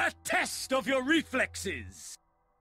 A test of your reflexes!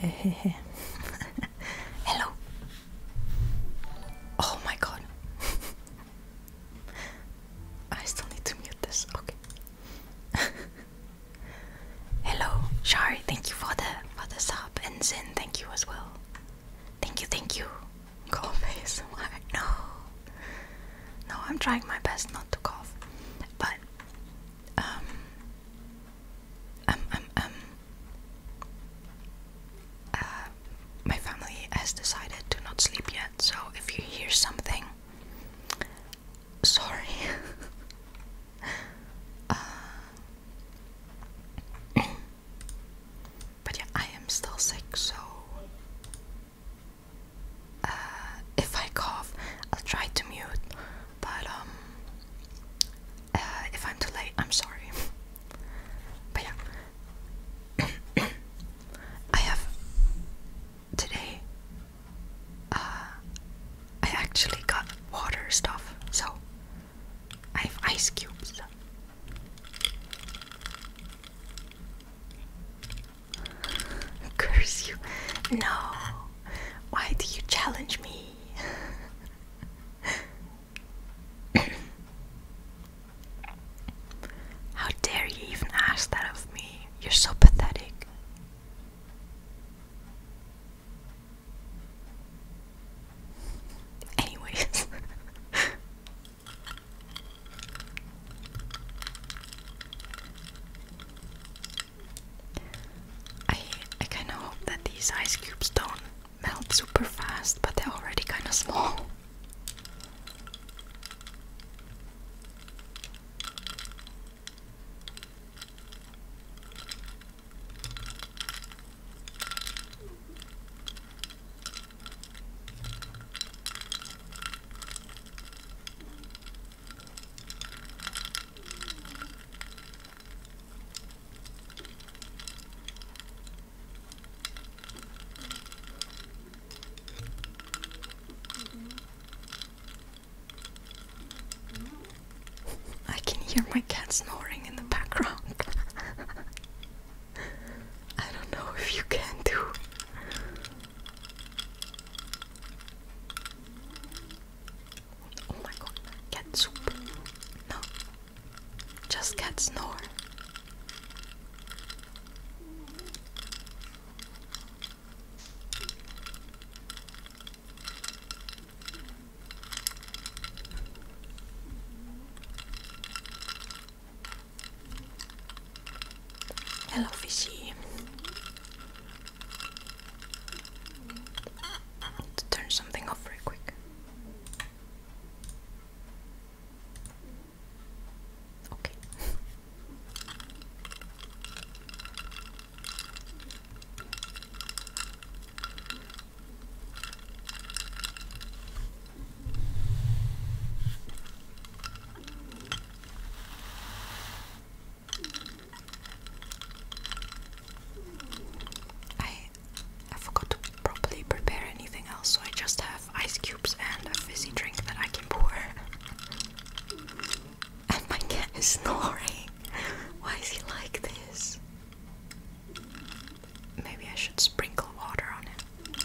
Hello. Oh my god. I still need to mute this. Okay. Hello, Shari. Thank you for the for the sub, and Zin. Thank you as well. Thank you. Thank you cough ASMR. No. No, I'm trying my best not to cough. But um, um um um uh, my family has decided to not sleep yet, so if you hear something sorry uh, but yeah, I am still sick, so uh, if I cough, I'll try to mute. But um, uh, if I'm too late, I'm sorry. but yeah, I have today. Uh, I actually got water stuff, so I have ice cubes. Curse you. No. Why do you challenge me? How dare you even ask that of me? You're so pathetic. Anyways. I I kinda hope that these ice cubes don't melt super fast, but they're already kinda small. I can hear my cat snoring in the background. I don't know if you can do. Oh my god, cat soup. No, just get snore. Hello, fishy. To turn something off real quick. Okay. I I forgot to properly prepare anything else, so I just have ice cubes and a fizzy drink that I can pour. and my cat is snoring. Why is he like this? Maybe I should sprinkle water on it.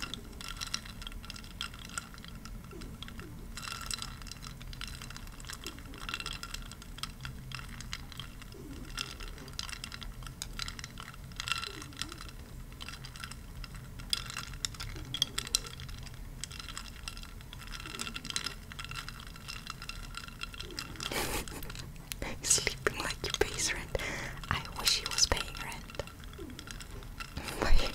Sleeping like your base rent. I wish he was paying rent.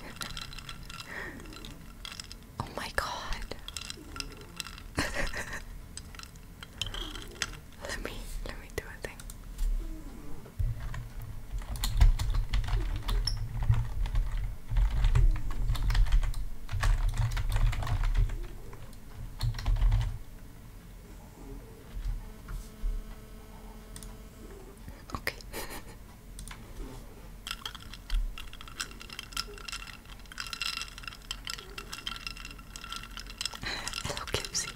oh my god. let me let me do a thing. Okay. Hello, Kipsy.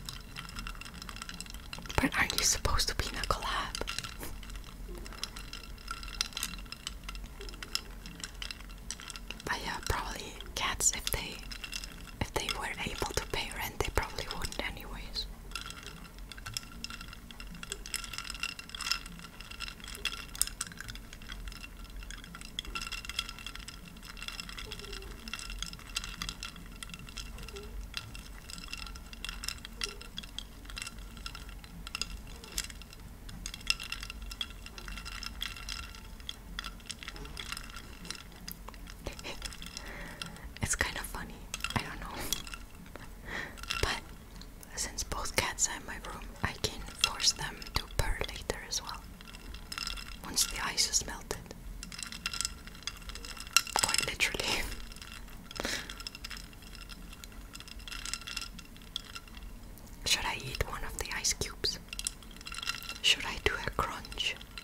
But aren't you supposed to be in a collab? But yeah, probably cats if they if they were able to pay rent, they probably wouldn't, anyways. it's kind of funny. I don't know. but since both cats are in my room, I can force them to purr later as well. Once the ice is melted. Quite literally. Should I eat one of the ice cubes? Should I do a crunch?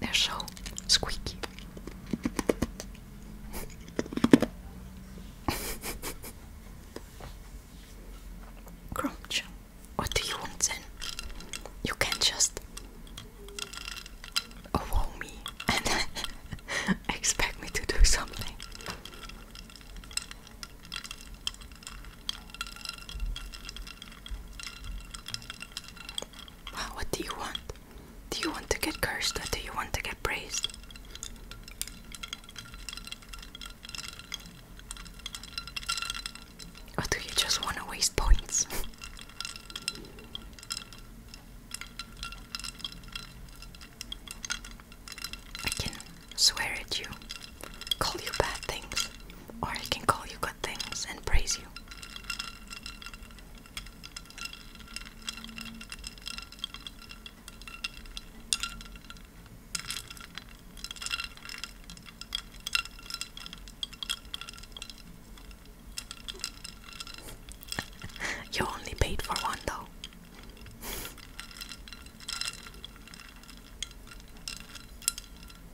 They're so squeaky. Grumch, what do you want then? You can't just wow me and expect me to do something. Well, what do you want? Do you want to get cursed or do you want to get praised? Or do you just want to waste points? I can swear at you, call you bad things, or I can call you good things and praise you you only paid for one though.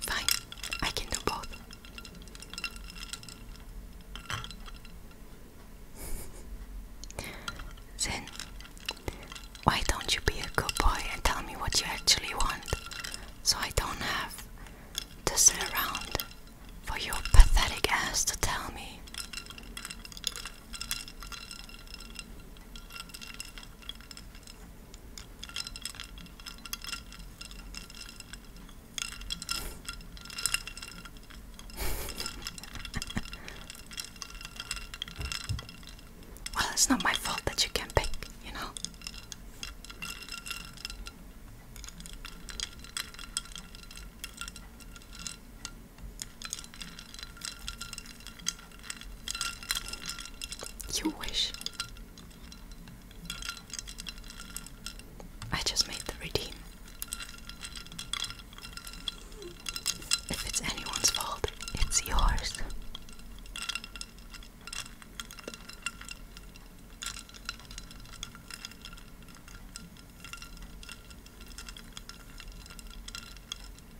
Fine, I can do both. then, why don't you be a good boy and tell me what you actually want so I don't have to sit around for your pathetic ass to tell me? well, it's not my fault that you can't pick, you know. You wish. I just made the redeem. If it's anyone's fault, it's yours.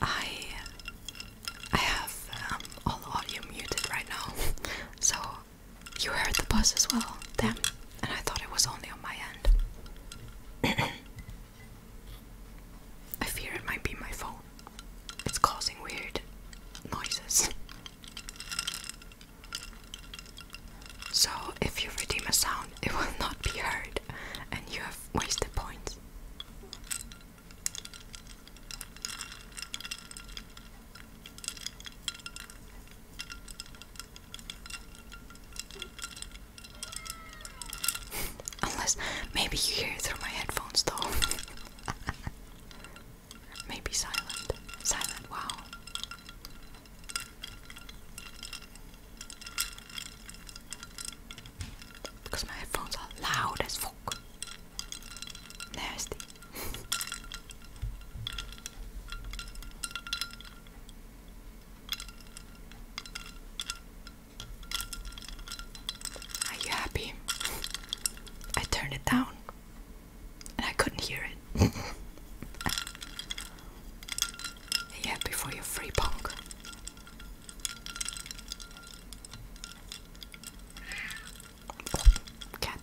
I I have um, all audio muted right now, so you heard the buzz as well, damn, and I thought it was only on my end. I fear it might be my phone. It's causing weird noises. So, if you redeem a sound, it will not be heard, and you have wasted points. Unless maybe you hear it through my headphones, though. Maybe silent. Silent, wow. Because my headphones are loud as fuck. Nasty. Are you happy? I turned it down. I couldn't hear it. Are you free punk? cat.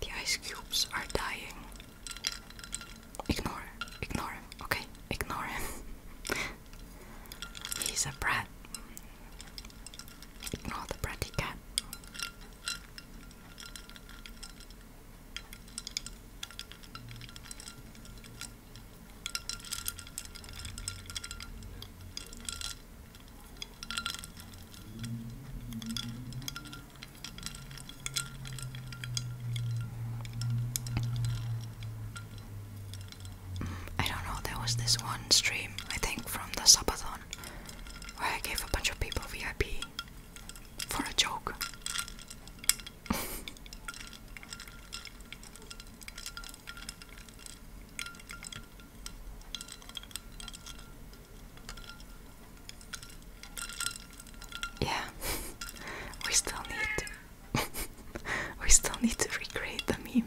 The ice cubes are dying. Ignore, ignore him, okay? Ignore him. He's a brat. Ignore the bratty cat. I don't know, there was this one stream, I think from the Sabathon, where I gave a bunch of people VIP for a joke. yeah, we still need we still need to recreate the meme.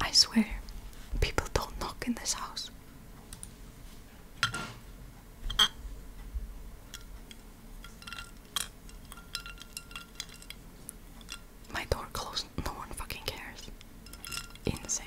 I swear, people don't knock in this house. My door closed, no one fucking cares. Insane.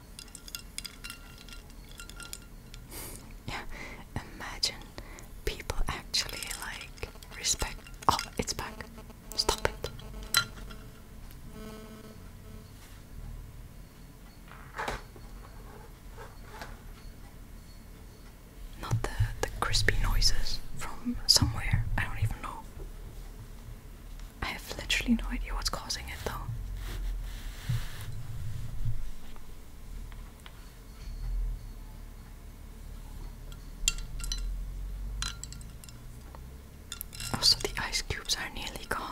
yeah, imagine people actually like respect. Oh, it's back. Stop it. Not the, the crispy noises from somewhere, I don't even know. I have literally no idea what's causing it though. Also, oh, the ice cubes are nearly gone.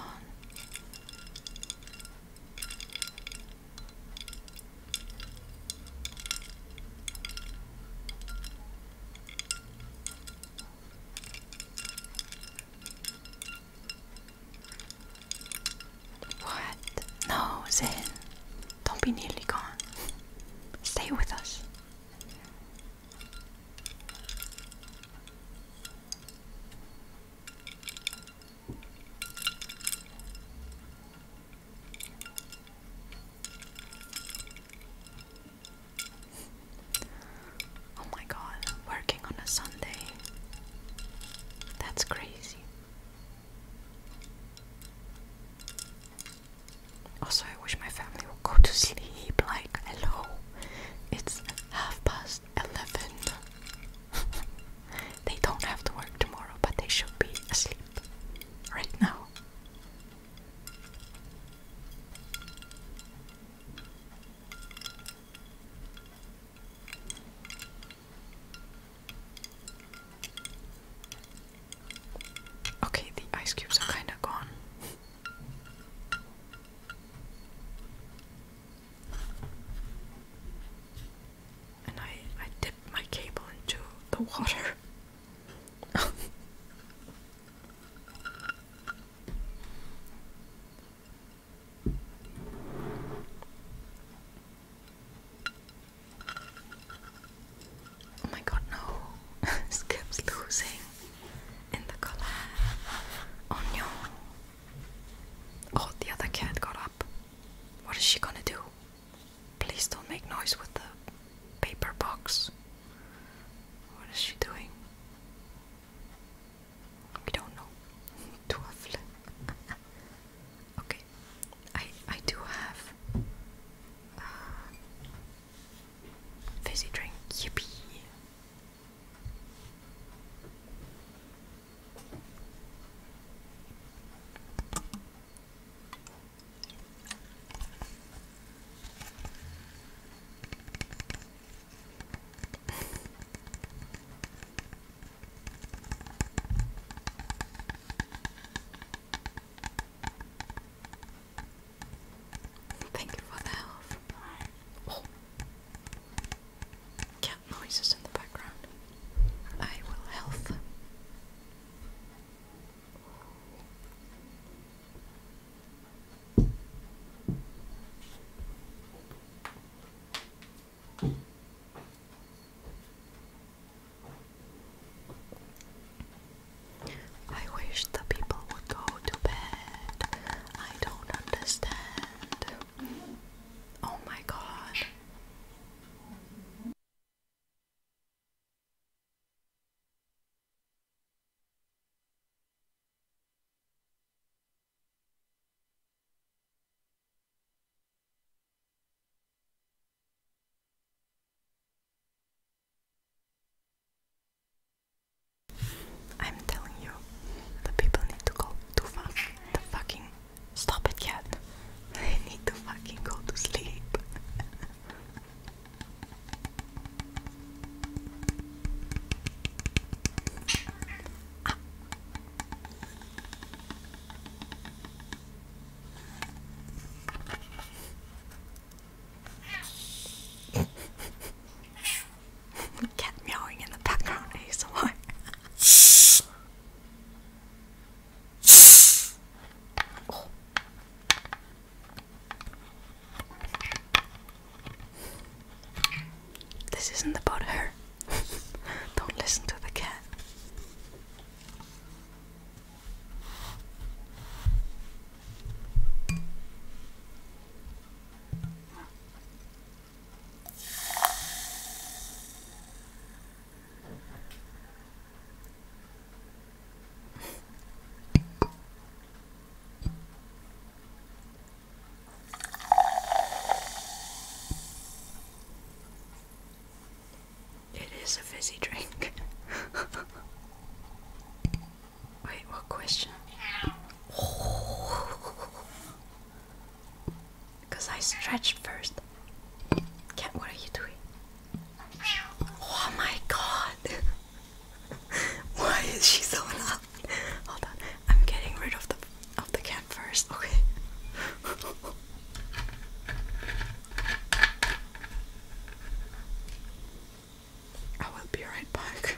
What? No, Zane. Don't be nearly gone. Stay with us. Oh my god, working on a Sunday. That's crazy. Also, I wish my family would go to sleep. Like, hello, it's half past eleven. they don't have to work tomorrow, but they should be asleep right now. Okay, the ice cubes are kind of gone. And I I dipped my cable into the water. Oh my god, no! Skip's losing in the collar. Oh no! Oh, the other cat got up. What is she gonna do? Please don't make noise with the paper box. What is she doing? We don't know. Twaffle. okay. I I do have uh, fizzy drink. Yippee. Thank you for the help. Oh. Cat noises in the background. I will health. I wish the people would go to bed. I don't understand. Oh my god. I'm telling you, the people need to go to fuck the fucking stop it yet. They need to fucking go to sleep. Ah. Cat meowing in the background ASMR. oh. This isn't about her. Don't listen to the cat. It is a fizzy drink. Wait, what question? Because I stretched first. Cat, what are you doing? Oh my god! Why is she so loud? Hold on. I'm getting rid of the of the cat first, okay? I will be right back.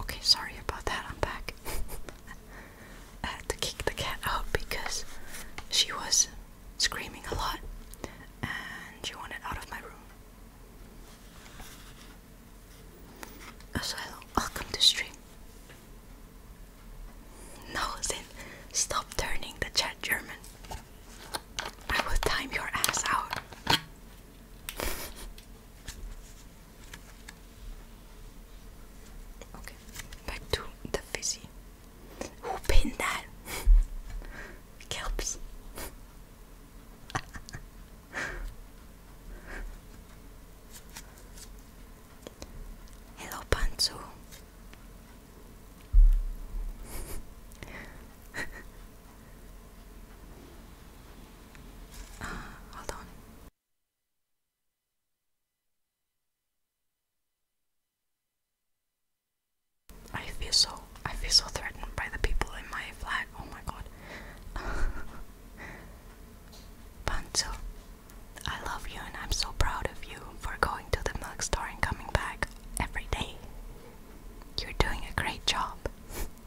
Okay, sorry about that. I'm back. I had to kick the cat out because she was screaming a lot and she wanted out of my room. Asylum, welcome to stream. No, Zin, stop turning the chat German. I will time your ass out okay, back to the fizzy. Who pinned that? Kelps. Hello, Panzu. Ah, hold on. I feel so I feel so threatened by the people in my flat. Oh my god. Pancho, I love you and I'm so proud of you for going to the milk store and coming back every day. You're doing a great job.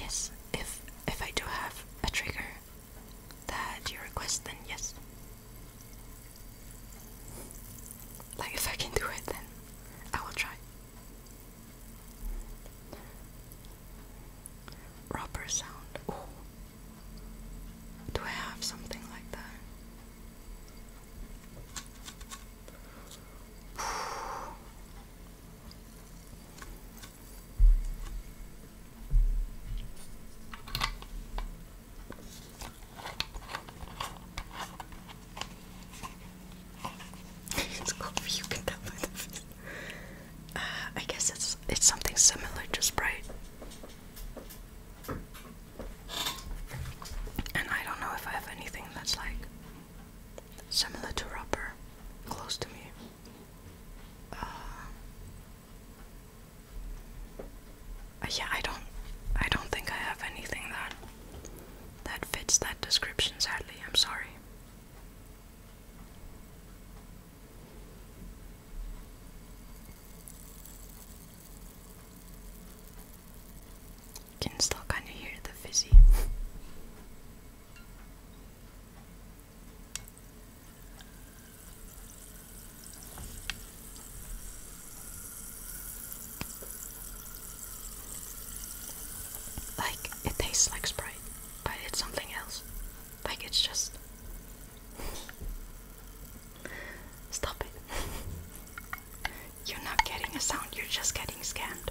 Yes, if if I do have a trigger that you request, then yes. Like if I can do it, then I will try. Rubber sound. do I have something like that? it's cool if you can tell uh, I guess it's it's something similar to spray, And I don't know if I have anything that's like similar to rubber close to me. Uh, yeah, I don't. I don't think I have anything that that fits that description. Sadly, I'm sorry. Can still kind of hear the fizzy. Like, it tastes like Sprite, but it's something else. Like, it's just. Stop it. You're not getting a sound, you're just getting scanned.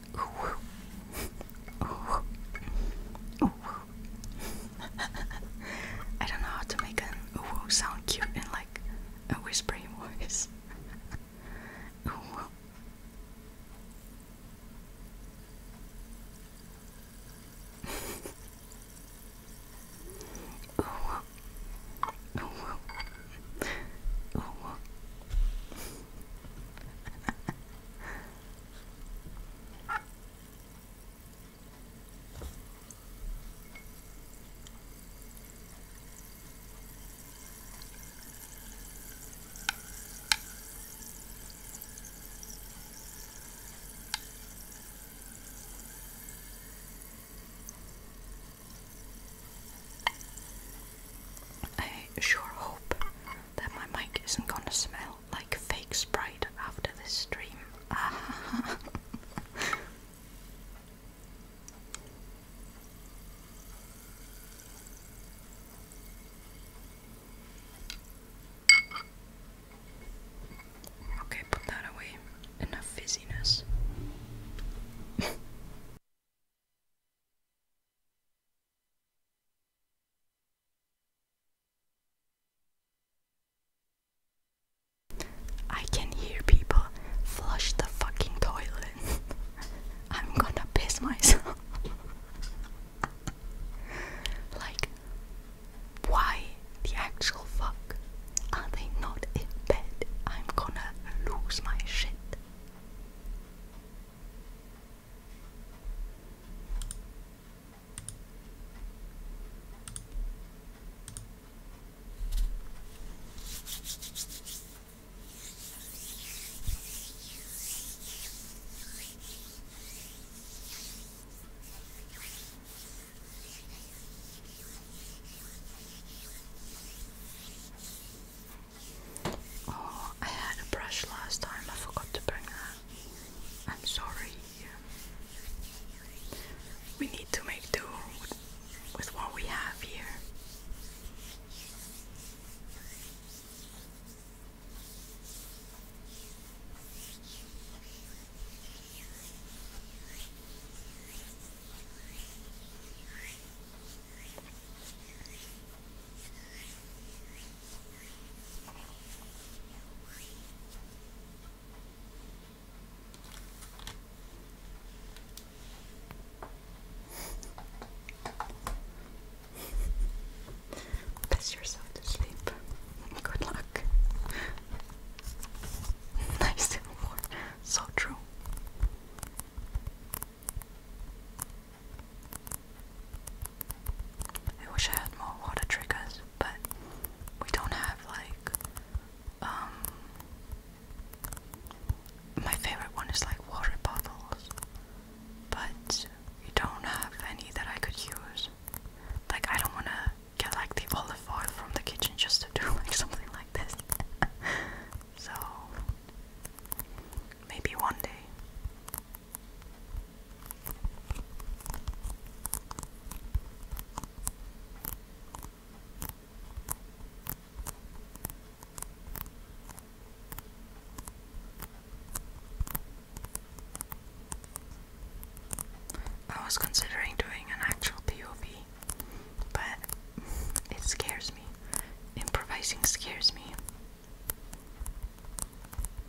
Ooh. Ooh. Ooh. I don't know how to make an ooh sound cute in like a whispering voice. Ooh. Ooh. Ooh. I sure hope that my mic isn't gonna smell like fake Sprite after this stream. okay, put that away. Enough fizziness. I can hear people flush the fucking toilet. I'm gonna piss myself. like, why the actual fuck are they not in bed? I'm gonna lose my shit. Oh, I had a brush last time, I forgot to bring that. I'm sorry. We need to make do with what we have here. Piss yourself to sleep. Good luck. nice and warm. So true. I wish I had more water triggers, but we don't have like um my favorite one is like water bottles, but we don't have any that I could use. Like I don't wanna get like the olive oil from the kitchen just to do like something like this. so maybe one day. I was considering doing an actual POV, but it scares me. Improvising scares me.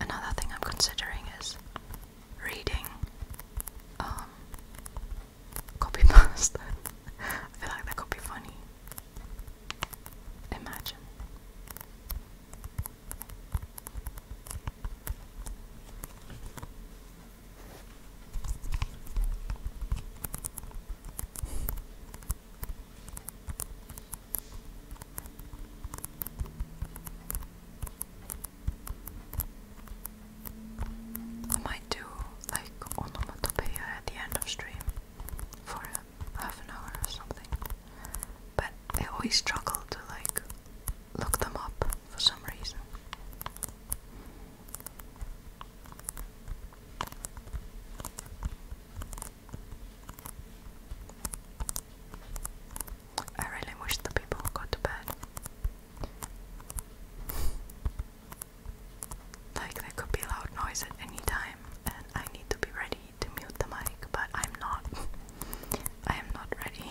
Another thing I'm considering is reading um copy pasta. I feel like that could be funny. Imagine. I might do like onomatopoeia at the end of stream for a half an hour or something. But I always struggle to like look them up for some reason. I really wish the people would to bed. like there could be loud noise at any time and I need to be ready to mute the mic, but I'm not. I am not ready.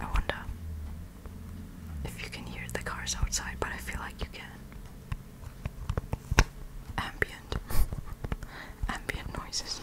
I wonder if you can hear the cars outside, but I feel like you can. Ambient, ambient noises.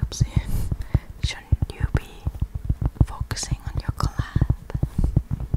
Gibson, shouldn't you be focusing on your collab?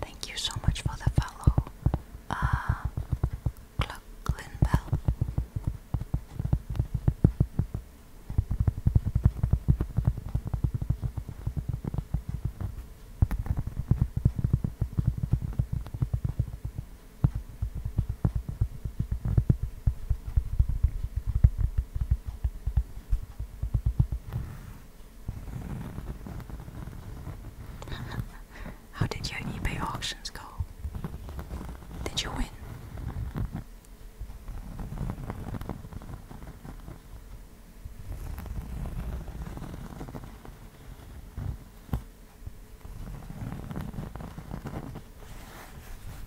Thank you so much for the follow, uh, Glenn Bell. How did your eBay auctions go? Did you win?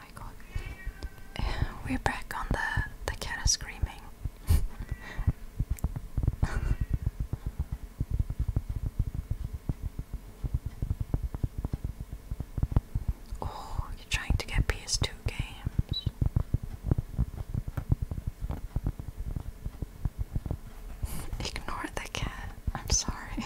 my god. we're back on the the cat screaming. oh, you're trying to get PS2 games. Ignore the cat. I'm sorry.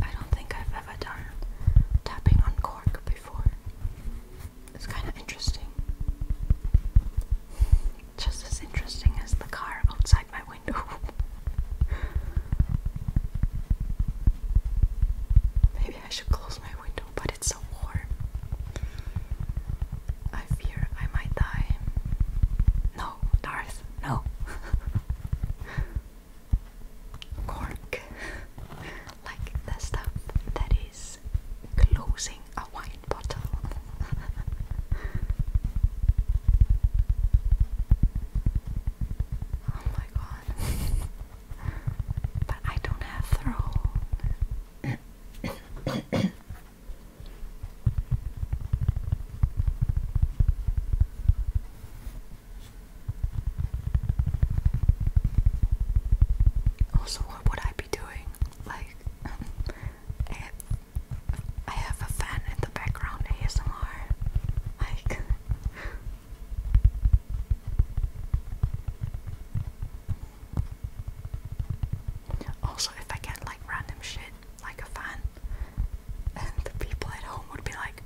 I don't think I've ever done tapping on cork before. It's kind of interesting. Just as interesting as the car outside my window. Maybe I should close my window, but it's so warm. I fear I might die. No, Darth, no. cork, like the stuff that is closing a wine bottle. oh my god. but I don't have throne. Also, what would I be doing? Like, I have, a fan in the background ASMR. Like, also, if I get like random shit, like a fan. And the people at home would be like,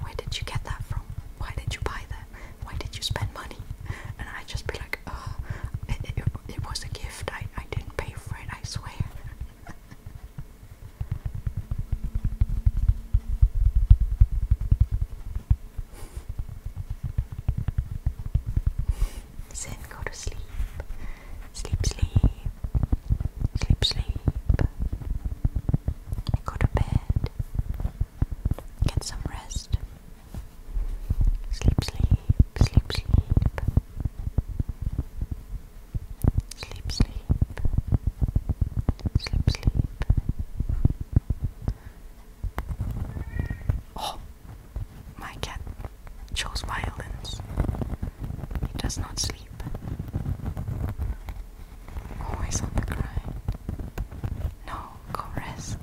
Where did you get that from? Why did you buy that? Why did you spend money? And I'd just be like, Oh, it, was a gift. I, I didn't pay for it, I swear. Zen, go to sleep. Sleep, sleep. Sleep, sleep. Go to bed. Get some rest. Sleep, sleep. Sleep, sleep. Sleep, sleep. Sleep, sleep. Oh, my cat chose violence. He does not sleep sleep. Always on the grind. No, go rest,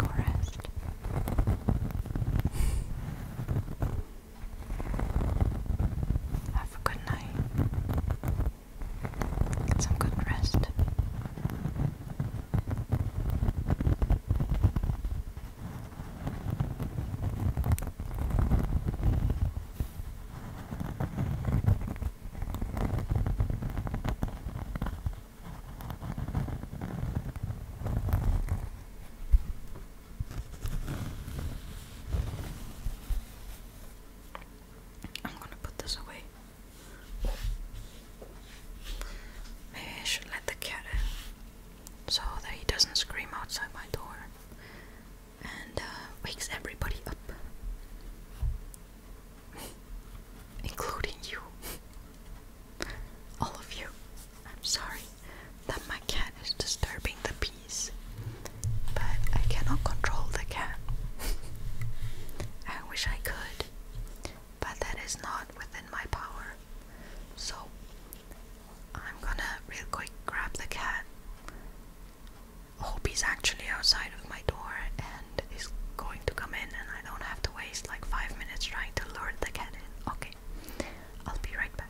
Have a good night. Get some good rest. I'm going to put this away. Maybe I should let the cat in so that he doesn't scream outside my door and uh, wakes everybody up, including you. All of you. I'm sorry that my cat is disturbing the peace, but I cannot control the cat. I wish I could, but that is not within my power. So I'm gonna real quick grab the cat hope he's actually outside of my door and he's going to come in and I don't have to waste like five minutes trying to lure the cat in. Okay, I'll be right back.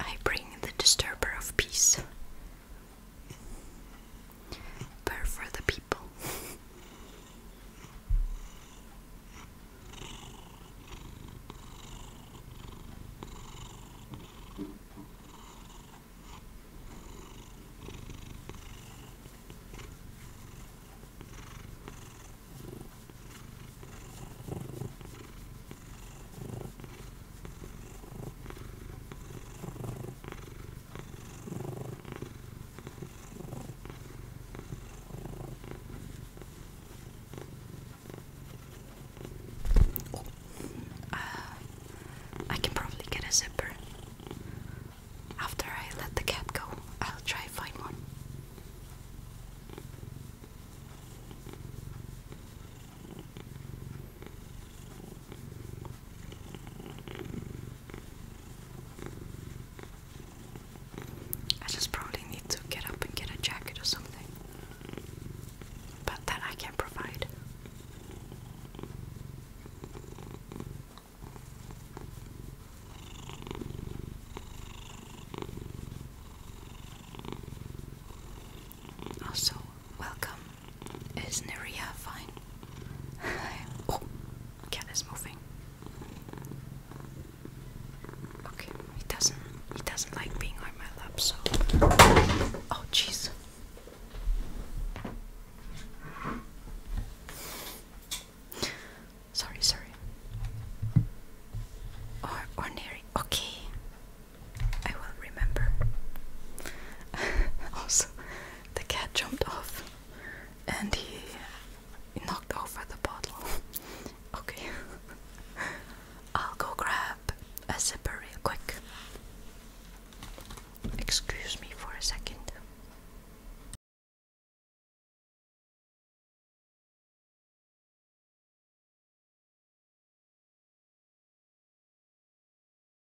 I bring the disturber of peace but for the people. Uh, I can probably get a zipper. After I let the cat go, I'll try find one. I just probably need to get up and get a jacket or something. But that I can provide. Also, welcome. Is Neria fine? Oh cat is moving. Okay, he doesn't he doesn't like being on my lap, so oh jeez. Sorry, sorry. Or ordinary. Okay. I will remember. also, the cat jumped off and he knocked over the bottle. okay. I'll go grab a zipper real quick. Excuse me for a second.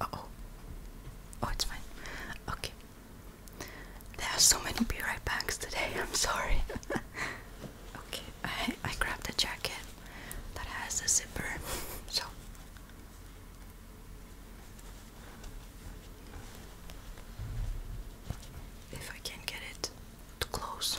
oh. Oh, it's fine. Okay. There are so many be right backs today, I'm sorry. okay, I, I grabbed a jacket that has a zipper, so. If I can get it to close.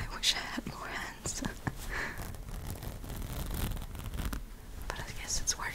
I wish I had more hands. but I guess it's working.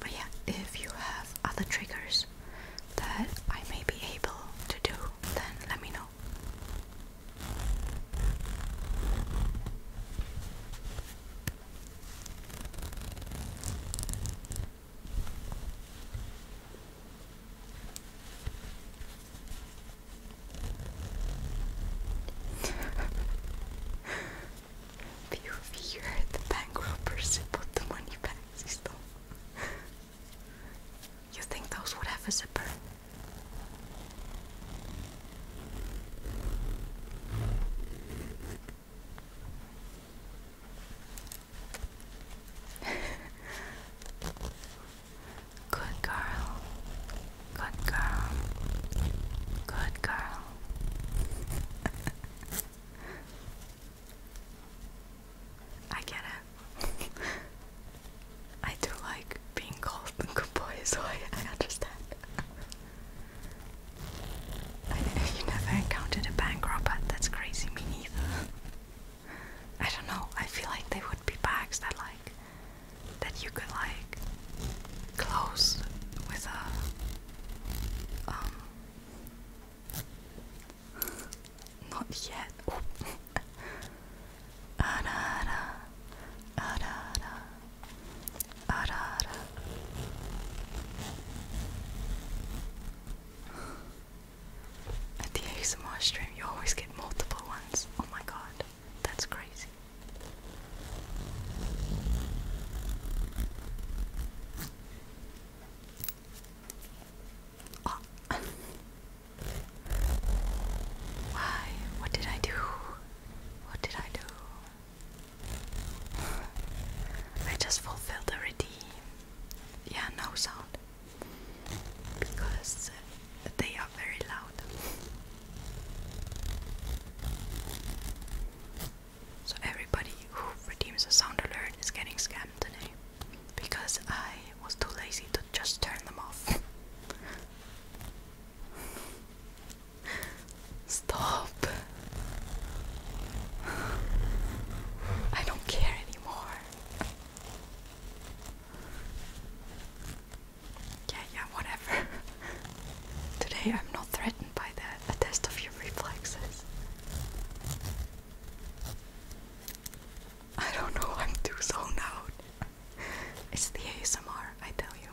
But yeah, if you have other triggers that I may be able to do, then let me know. POV, the bank robbers who put the money back, You think those would have a zipper? Good girl. Good girl. Good girl. I get it. I do like being called good boy, so I understand. I, never encountered a bank robber. That's crazy. Me neither. I don't know. I feel like they would be bags that like that you could like close with a um. Not yet. Oh. Arara, arara, arara. At the ASMR stream, you always get multiple ones. Oh my god, that's crazy. Oh. Why? What did I do? What did I do? I just fulfilled the redeem yeah, no sound because they are very loud. So everybody who redeems a sound alert is getting scammed today because I was too lazy to just turn them off. Stop. I don't care anymore. Yeah, yeah, whatever. Today I'm not threatened by that. test of your reflexes. I don't know, I'm too zoned out. It's the ASMR, I tell you.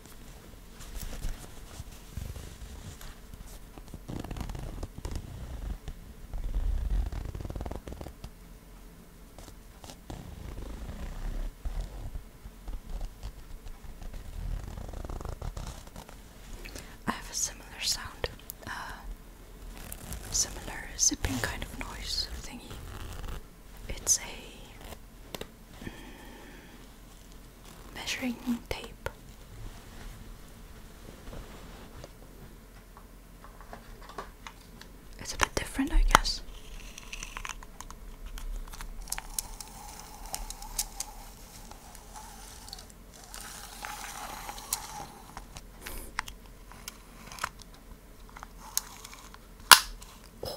I have a similar sound, uh, similar zipping kind of noise thingy. It's a. Mm, measuring tape. It's a bit different, I guess.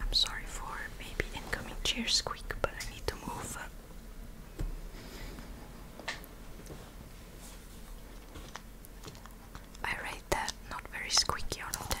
I'm sorry for maybe incoming chair squeak, but I need to move. I rate that not very squeaky out 10.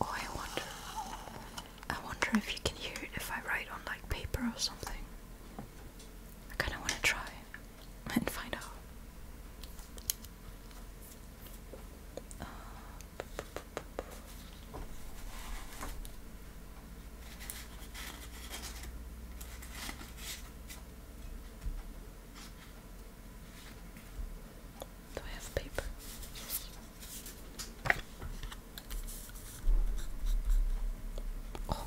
Oh, I wonder. I wonder if you can hear it if I write on like paper or something. I kind of want to try and find out. do I have paper? Oh.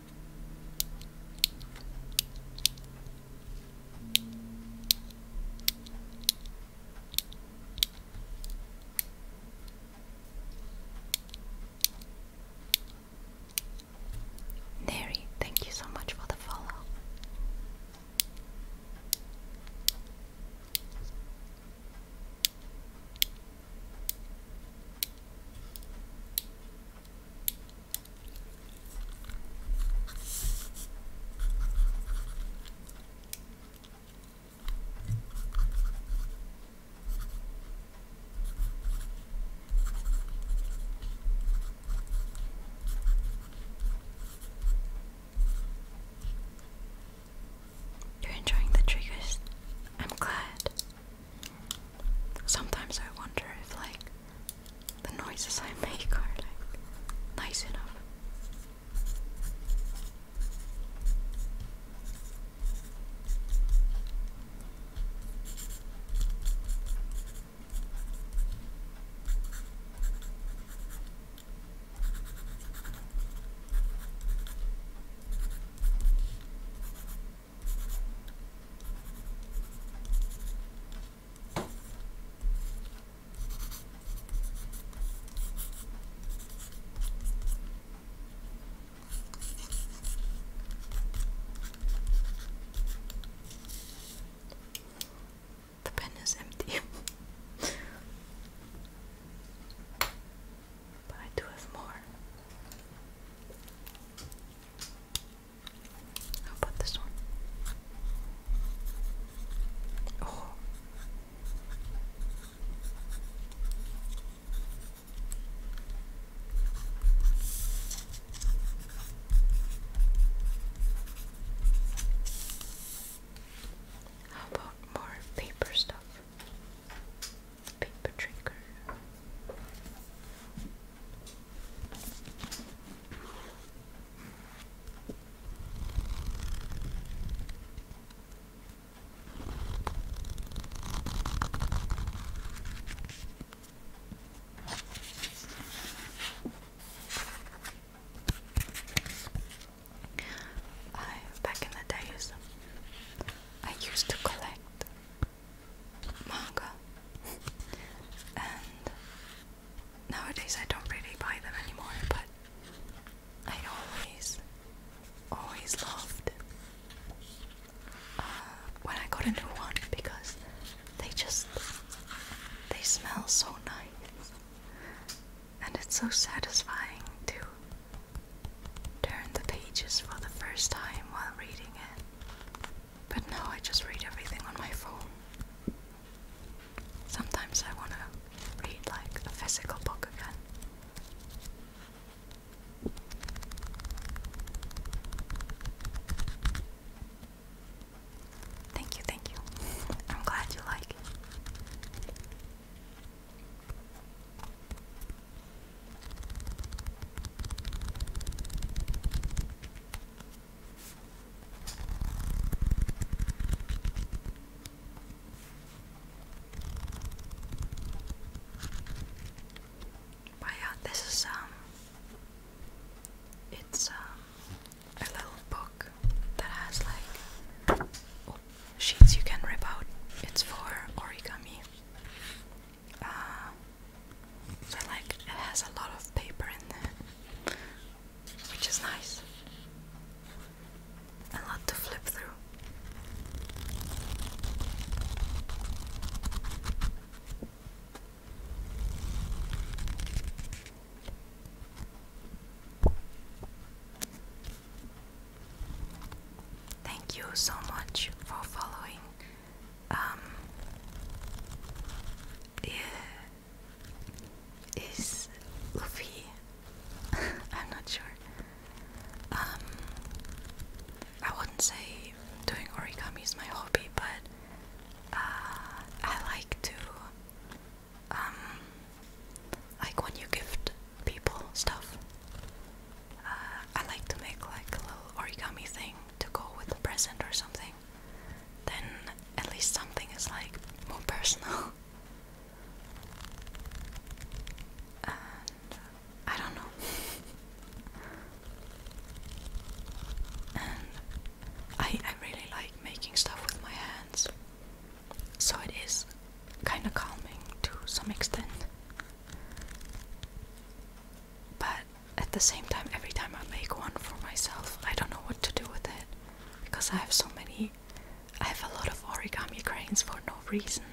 Neri, thank you so much for the follow. You're enjoying the triggers. I'm glad. Sometimes I wonder if like the noises I make are like nice enough. The pen is empty, but I do have more. How about this one? Oh. How about more paper stuff? paper trigger. back in the days I used to collect manga. and nowadays I don't really buy them anymore, but I always, always loved uh, when I got a new one because they just, they smell so nice. And it's so satisfying to turn the pages for the first time while reading it. But now I just read everything on my phone. Sometimes I want to read like a physical book again. Thank you, thank you. I'm glad you like but yeah, this is um it's um a little book that has like oh, sheets you can rip out. It's for origami so uh, like it has a lot of paper in there, which is nice. A lot to flip through. Thank you so much for following um, yeah, is Luffy. I'm not sure. Um, I wouldn't say doing origami is my hobby, but uh, I like to, um, like when you gift people stuff. Uh, I like to make like a little origami thing to go with the present or something, then at least something is like more personal. I don't know. I I really like making stuff with my hands. So it is kind of calming to some extent. But at the same time, every time I make one for myself, I don't know what to do with it because I have so many. I have a lot of origami cranes for no reason,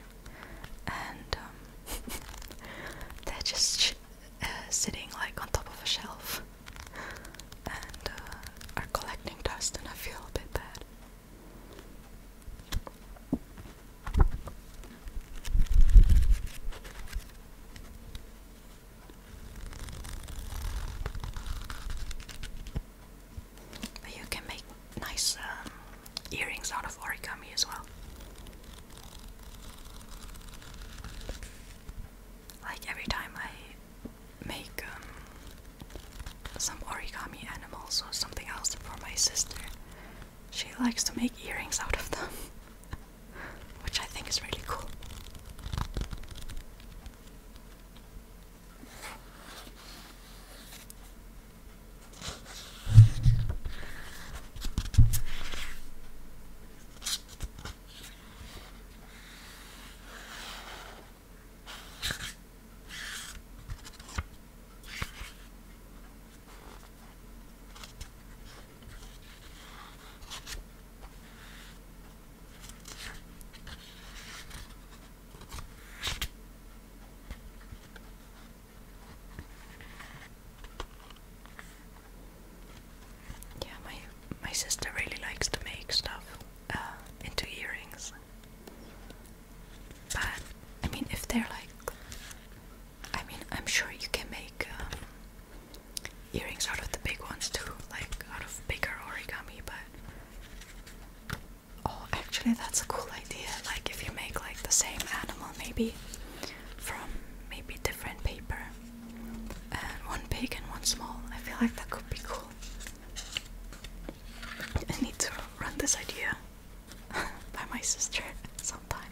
and um, they're just uh, sitting like on top of a shelf and uh, are collecting dust, and I feel a bit bad you can make nice um, earrings out of origami as well. Like every time I make um, some origami animals or something else for my sister, she likes to make earrings out of them. which I think is really cool. Yeah, my my sister really likes to make stuff uh, into earrings. But I mean, if they're like I mean, I'm sure you can make uh, earrings out of the big ones too, like out of bigger origami, but. Oh, actually, that's a cool idea. Like, if you make like the same animal, maybe from maybe different paper, and one big and one small, I feel like that could be cool. I need to run this idea by my sister sometime.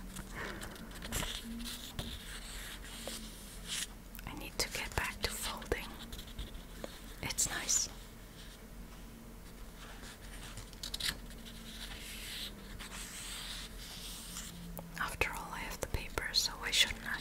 I need to get back to folding. It's nice. After all, I have the paper, so why shouldn't I?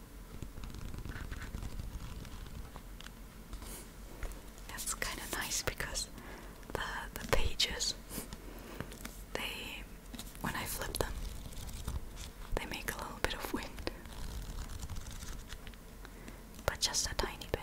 That's kind of nice because the the pages they when I flip them they make a little bit of wind. But just a tiny bit.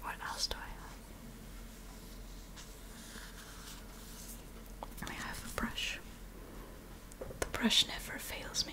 What else do I have? I have a brush. The brush never fails me.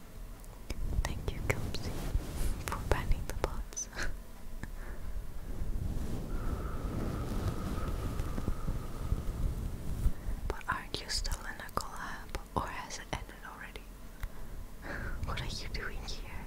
Thank you, Kelsey, for banning the bots. but aren't you still in a collab, or has it ended already? what are you doing here?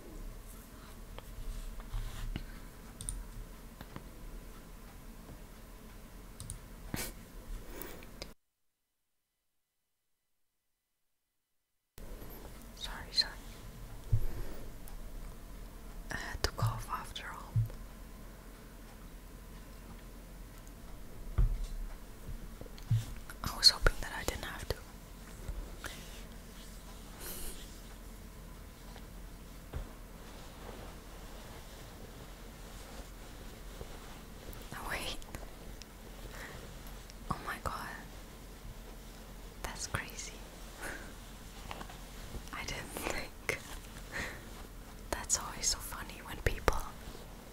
sorry, sorry. I had to cough after all. I was hoping that I didn't have to. Oh, wait. Oh, my God. That's crazy. I didn't think. That's always so funny when people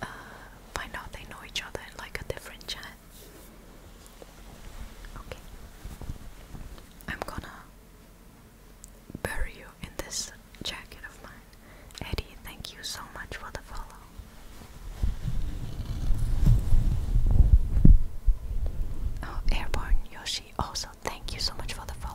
uh, find out they know each other like a different chat. Okay. I'm gonna bury you in this jacket of mine. Eddie, thank you so much for the follow. Oh, Airborne Yoshi, also thank you so much for the follow.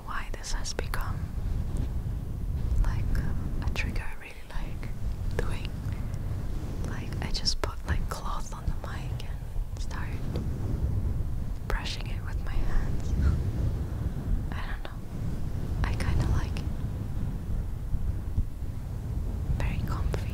why this has become like a trigger I really like doing. Like I just put like cloth on the mic and start brushing it with my hands. I don't know. I kind of like Very comfy.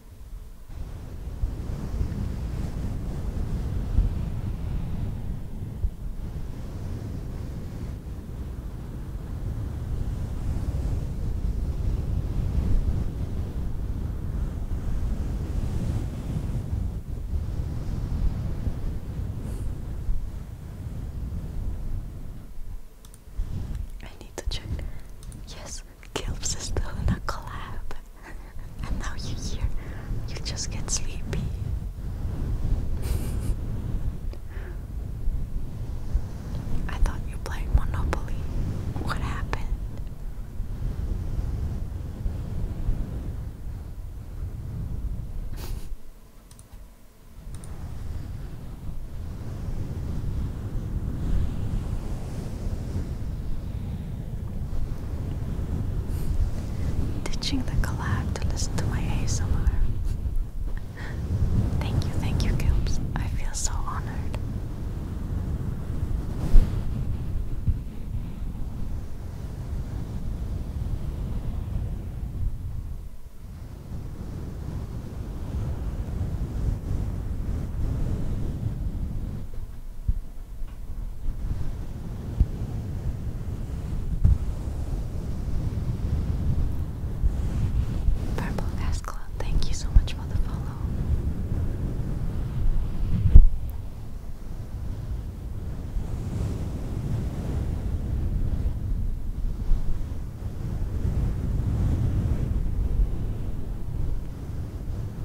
I need to check. Yes, because Kilps is doing a club, And now you hear, you just get sleepy. I thought you played Monopoly. What happened? Ditching the collab to listen to my ASMR. thank you, thank you, Gilbs. I feel so honored. Purple Gas thank you so much for the follow.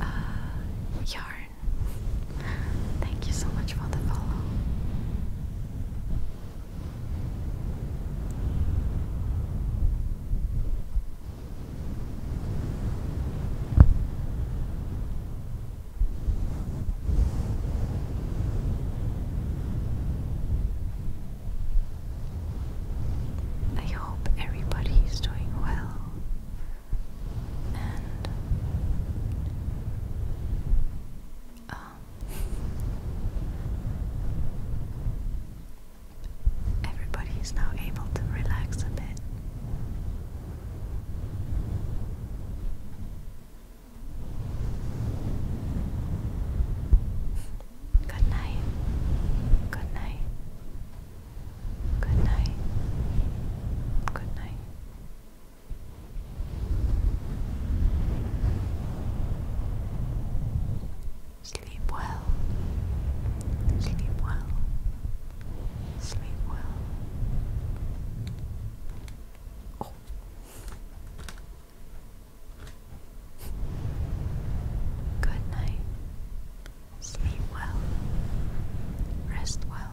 Uh, yarn. Thank you so much for the follow. I hope everybody is doing well and um, everybody is now able to relax a bit. Good night. Good night. Good night. Good night. Sleep well. Sleep well. Sleep well. Oh. Good night. Sleep well. Rest well.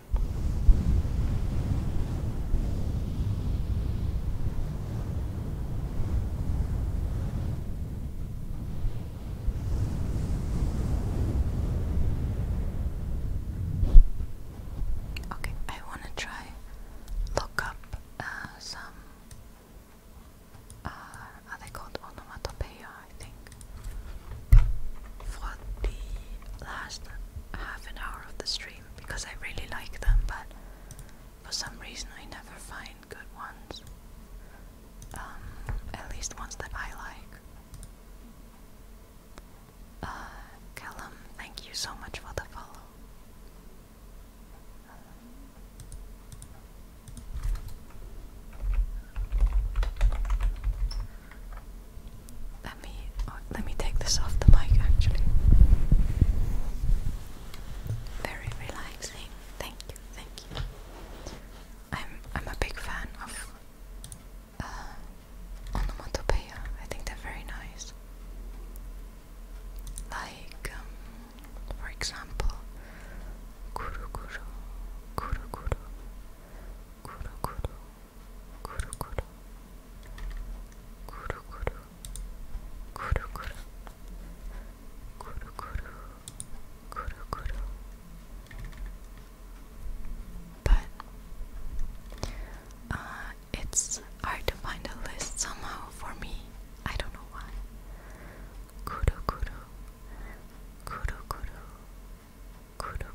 Okay, I want to try look up uh, some. Uh, are they called onomatopoeia? I think for the last half an hour of the stream because I really like them, but for some reason I never find good ones. Um, at least ones that I like. Uh, Callum, thank you so much for the follow. Let me oh, let me take this off the mic actually. Very relaxing. Thank you, thank you. I'm I'm a big fan of uh, onomatopoeia. I think they're very nice. Like, um, for example, kuru kuru, kuru kuru, kuru kuru, but uh, it's hard to find a list somehow for me. I don't know why. Kudo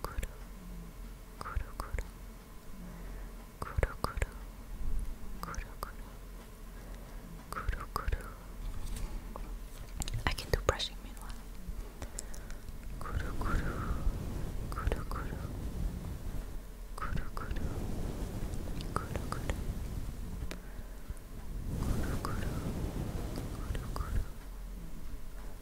I can do brushing meanwhile.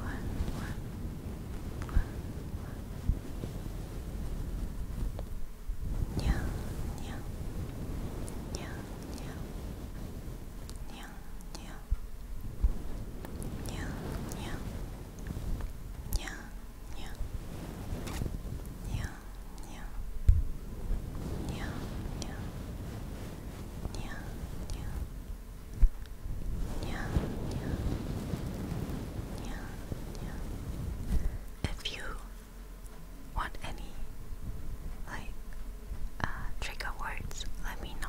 one, one, one, one. Yeah, yeah, yeah, yeah, yeah, yeah, yeah, yeah, yeah, yeah, yeah, yeah. Yeah, yeah, yeah, yeah, yeah, If you want any like uh, trigger words, let me know.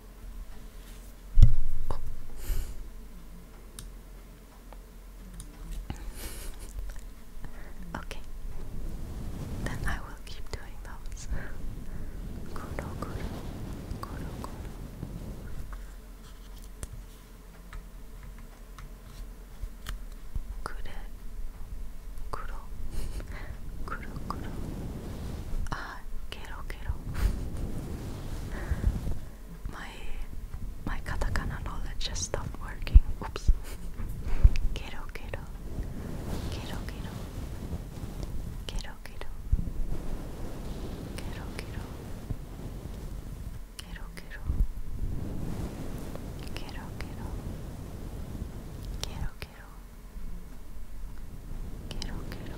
okay, then I will keep doing those. Kuro, kuro, kuro, kuro. Kure, kuro, kuro, kuro. Ah, quiero, My my katakana knowledge stopped working. Oops. Quiero, quiero. Quiero, quiero. Quiero, quiero. Quiero, quiero. Quiero, quiero. Quiero, quiero. Quiero, quiero.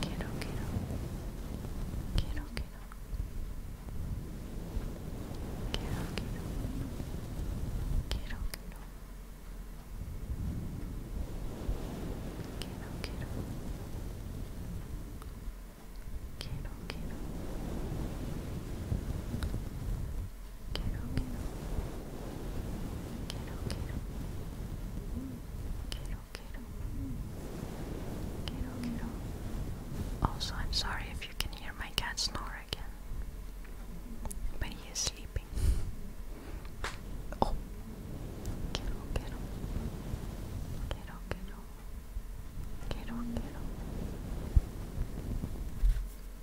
Quiero, quiero. Quiero, quiero. Quiero, quiero. Quiero, quiero. Quiero, Quiero, Also, I'm sorry if you can hear my cat snore again. But he is sleeping.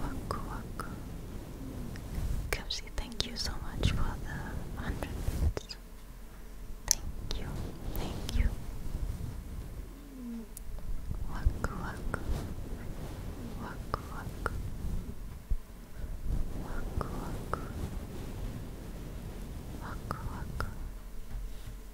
Waku waku. Kipsy, thank you so much for the hundred bits. Thank you, thank you. Waku waku. Waku waku. Waku waku. Waku waku.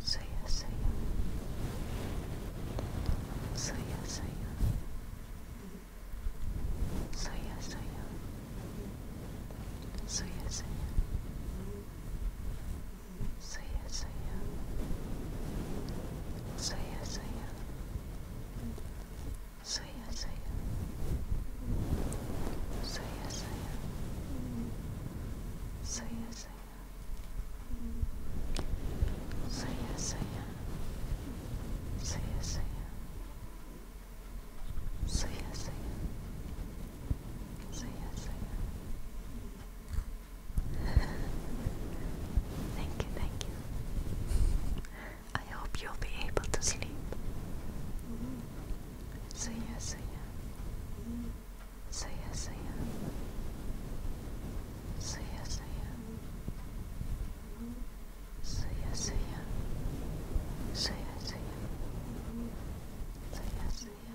So yeah, so yeah. So yeah, so yeah. So yeah, so yeah. So yeah, so yeah. So yeah, so yeah. So yeah, so yeah. So yeah, so yeah. So yeah, so yeah. So yeah, See ya, say it, say it, say it, say it, say it, Thank you, thank you. I hope you'll be able to sleep. Say it, say it. So yeah, so yeah. So yeah, so yeah. So yeah, so yeah. So yeah, so yeah. So yeah,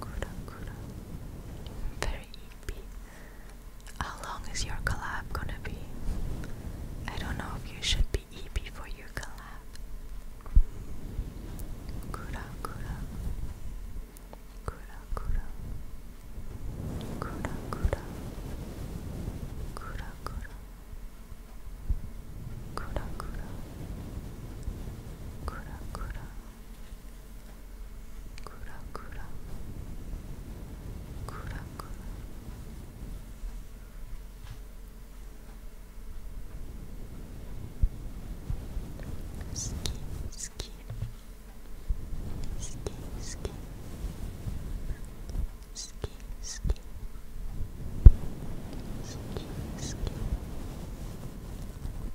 Good, good. Very EP. How long is your collab gonna be? I don't know if you should be EP before your collapse. Kura kura. Kura kura. Kura kura. Kura kura. Kura kura. Kura kura. クラクラクラクラ好き好き好き好き好き好き好き好き好き好き好き好き好き好き好好き好き好き好き好き好き好き好き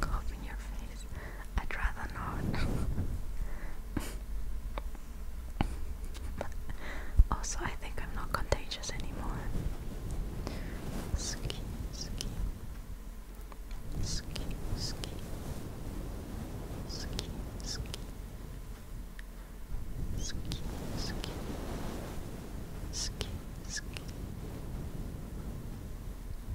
cough your face. I'd rather not. also, I think I'm not contagious anymore. Ski, ski, ski, ski, ski, ski, ski, ski, ski, ski.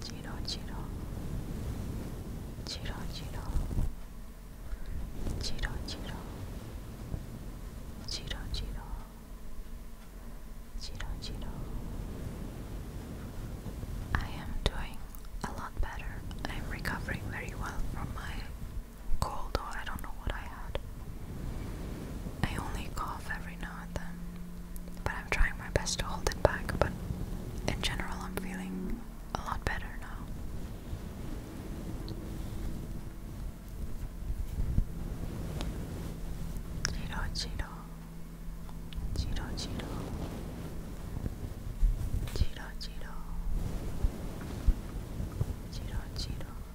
Chiro, Chiro, Chiro, Chiro, Chiro, Chiro, Chiro, Chiro, Chiro, Chiro. I am doing a lot better. I'm recovering very well from my cold, or I don't know what I had. I only cough every now at them. Um, but I'm trying my best to hold it back, but in general, I'm feeling a lot better now. Chiro,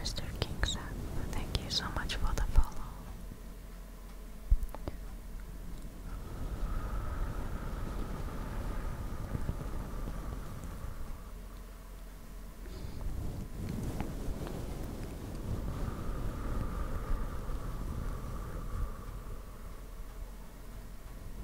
Mr. King said, thank you so much for the follow.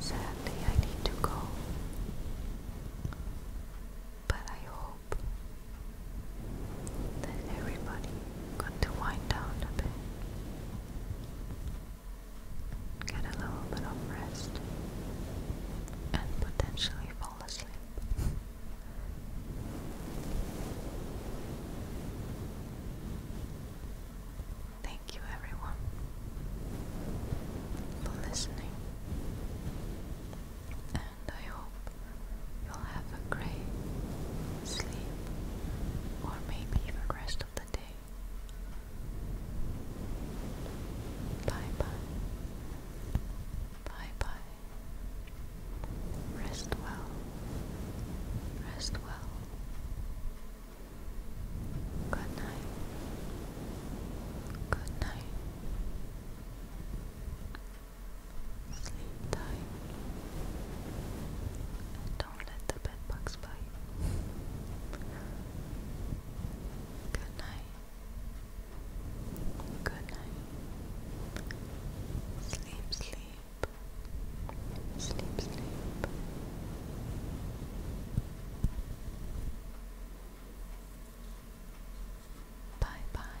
Sadly, I need to go, but I hope that everybody got to wind down a bit get a little bit of rest, and potentially fall asleep. Thank you, everyone, for listening, and I hope you'll have a great sleep or maybe even rest of the holiday. Bye bye. Bye bye. Rest well. Rest well. Good night. Good night. Sleep tight. don't let the bed Good night. Good night. Sleep, sleep. Sleep, sleep. Bye bye.